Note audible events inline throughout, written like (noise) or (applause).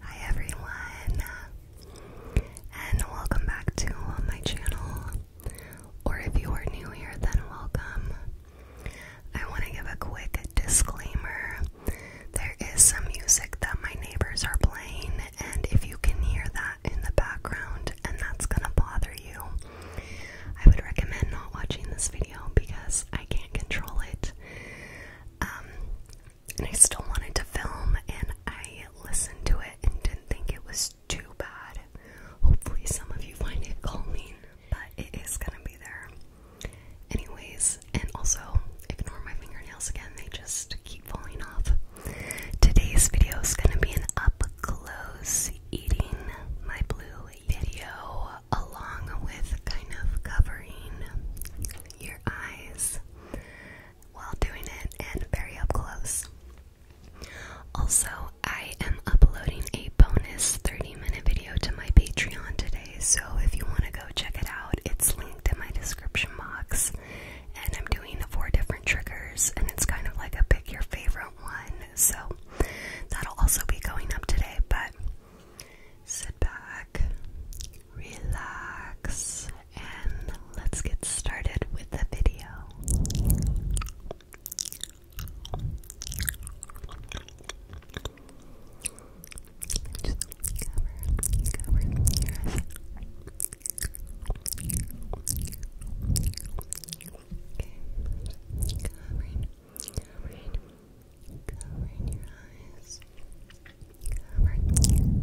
Hi everyone, and welcome back to my channel. Or if you are new here, then welcome. I want to give a quick disclaimer there is some music that my neighbors are playing, and if you can hear that in the background and that's gonna bother you, I would recommend not watching this video because I can't control it. Um, and I still wanted to film, and I listened to it and didn't think it was too bad. Hopefully, some of you find it calming, but it is gonna be there. Anyways, and also ignore my fingernails again, they just keep falling off. Today's video is gonna be an up close eating my blue video along with kind of covering your eyes while doing it and very up close. Also, I am uploading a bonus 30 minute video to my Patreon today, so if you want to go check it out, it's linked in my description box. And I'm doing four different triggers, and it's kind of like a pick your favorite one so that'll also be going up today, but sit back, relax, and let's get started with the video. Okay. Covering, covering, your eyes. Covering.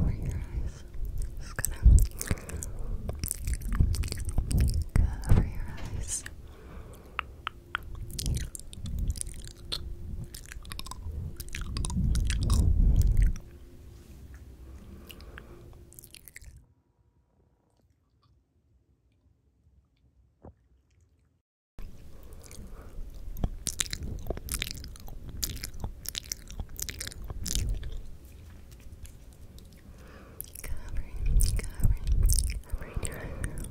over your eyes. Just gonna cover your eyes. Covering, covering, covering your eyebrow. Covering,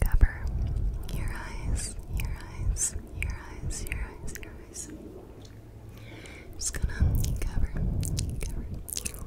Cover your eyes, your eyes, your eyes, your eyes, your eyes. just gonna cover, cover your eyes.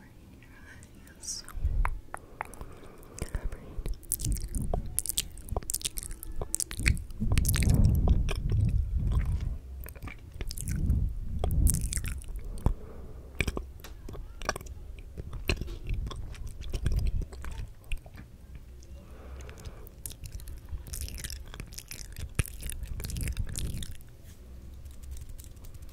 covering you eyes. Covering.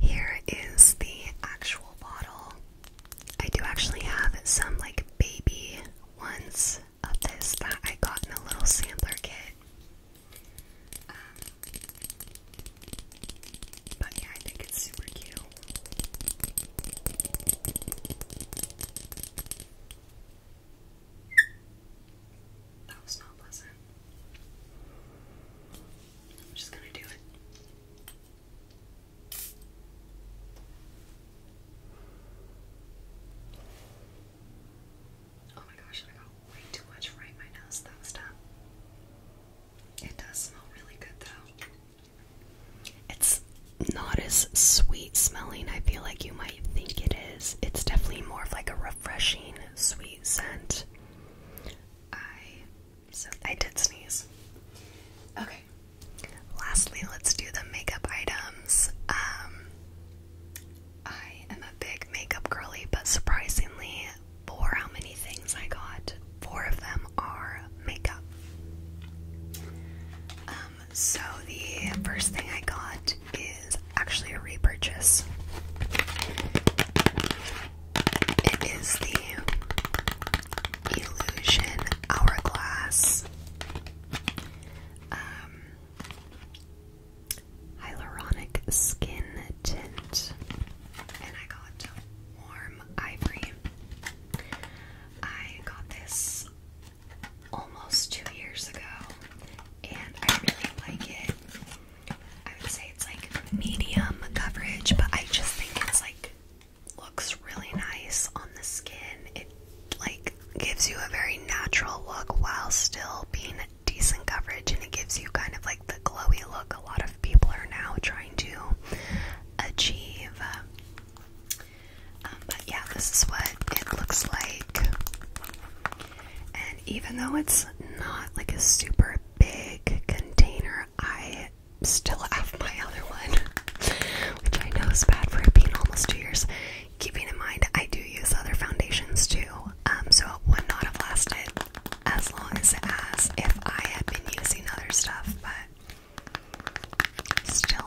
Here is the actual bottle. I do actually have some like baby once of this that I got in a little sampler kit. Um, but yeah, I think it's super cute. That was not pleasant. I'm just gonna do it. Oh my gosh, I got way too much right my nose that was done. It does smell really good though. It's not as sweet smelling, I feel like you might think it is. It's definitely more of like a refreshing sweet scent. I so I did sneeze. Okay, Lastly, let's do the makeup items. Um, I am a big makeup girly, but surprisingly, for how many things I got, four of them are makeup. Um, so the first thing I got is actually a repurchase. It is the Illusion Hourglass um, hyaluronic skin tint, and I call warm ivory. I got this almost two years ago, and I really like it. I would say it's like medium coverage, but I just think it's like looks really nice on the skin. It like gives you a very natural look while still being decent coverage and it gives you kind of like the glowy look a lot of people are now trying to achieve. Um, but yeah, this is what it looks like. And even though it's not like a super big container, I still have my other one, which I know is bad for it being almost two years. Keeping in mind, I do use other foundations too, um, so it would not have lasted as long as it has if I had been using other stuff, but still.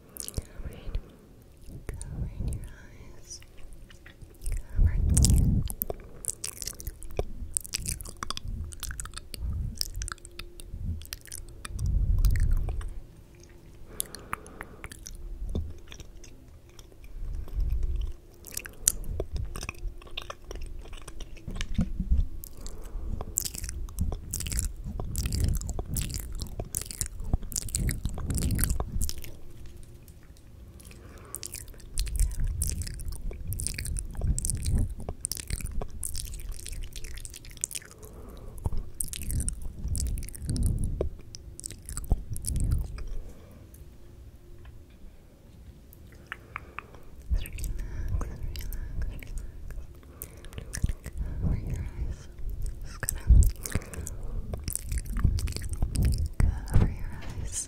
Alright. Cover in your eyes. Cover. Relax, relax, relax. Over your eyes, eyes. Just gonna cover your eyes.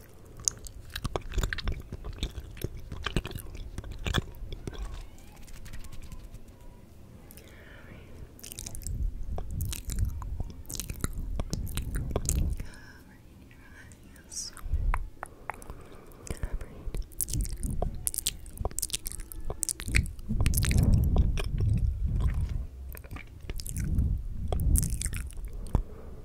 Cover your eyes.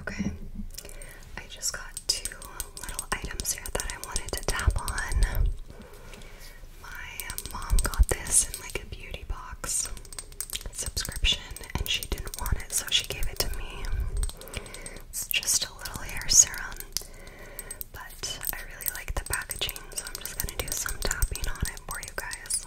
Okay, I just got two little items here that I wanted to tap on. My mom got this in like a beauty box subscription and she didn't want it, so she gave it to me. It's just a little hair serum but I really like the packaging, so I'm just gonna do some tapping on it for you guys.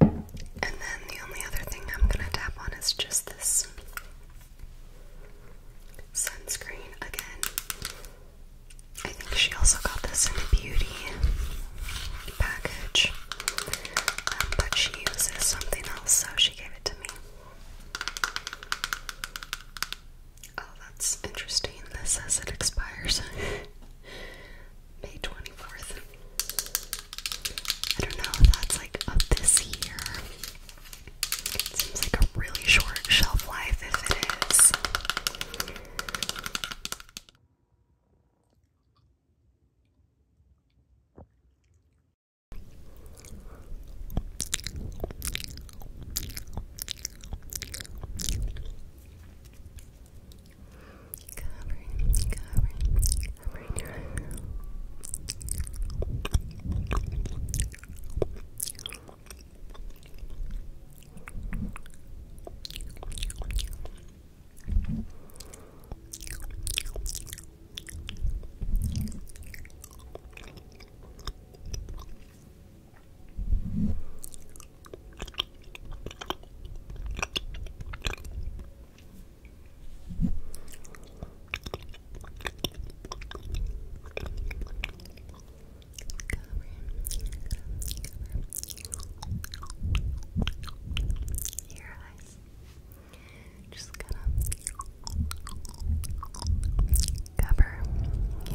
And then the only other thing I'm going to tap on is just this sunscreen again. I think she also got this in a beauty package, um, but she uses something else, so she gave it to me. Oh, that's interesting. This says it expires. (laughs) May 24th. I don't know that's like of this year. It seems like a really short shelf life if it is. Covering, covering, covering your eyebrow. Covering, your eyes. Just gonna cover your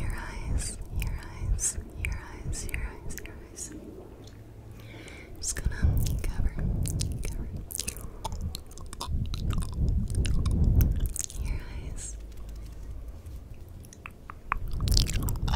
eyes, your eyes, your eyes, your eyes, your eyes. Just gonna cover, your eyes. Cover.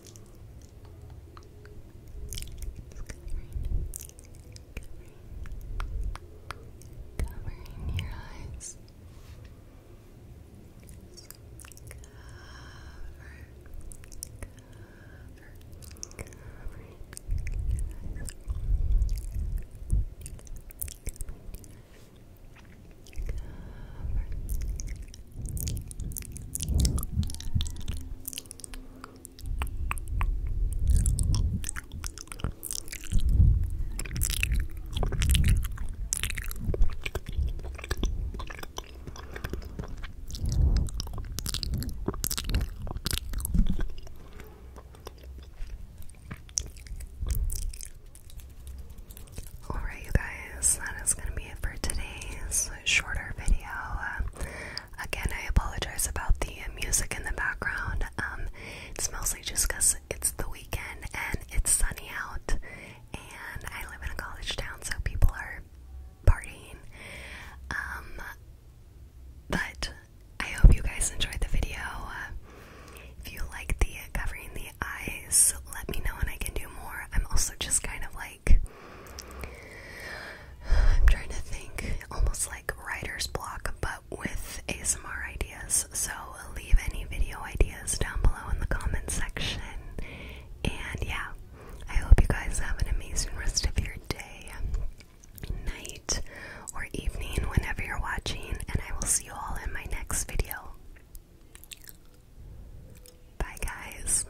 covering, covering your eyes. cover, cover, covering your eyes. Cover. Alright, you guys, that is going to be it for today shorter video. Um, again, I apologize about the music in the background. Um, it's mostly just because it's the weekend and it's sunny out, and I live in a college town, so people are partying. Um, but I hope you guys enjoyed the video. if you like the covering the eyes, let me know and I can do more. I'm also just kind of like I'm trying to think almost like writer's block but with ASMR ideas. So leave any video ideas down below in the comment section. And yeah, I hope you guys have an amazing rest of your day, night, or evening whenever you're watching, and I will see you all in my next video. Bye, guys.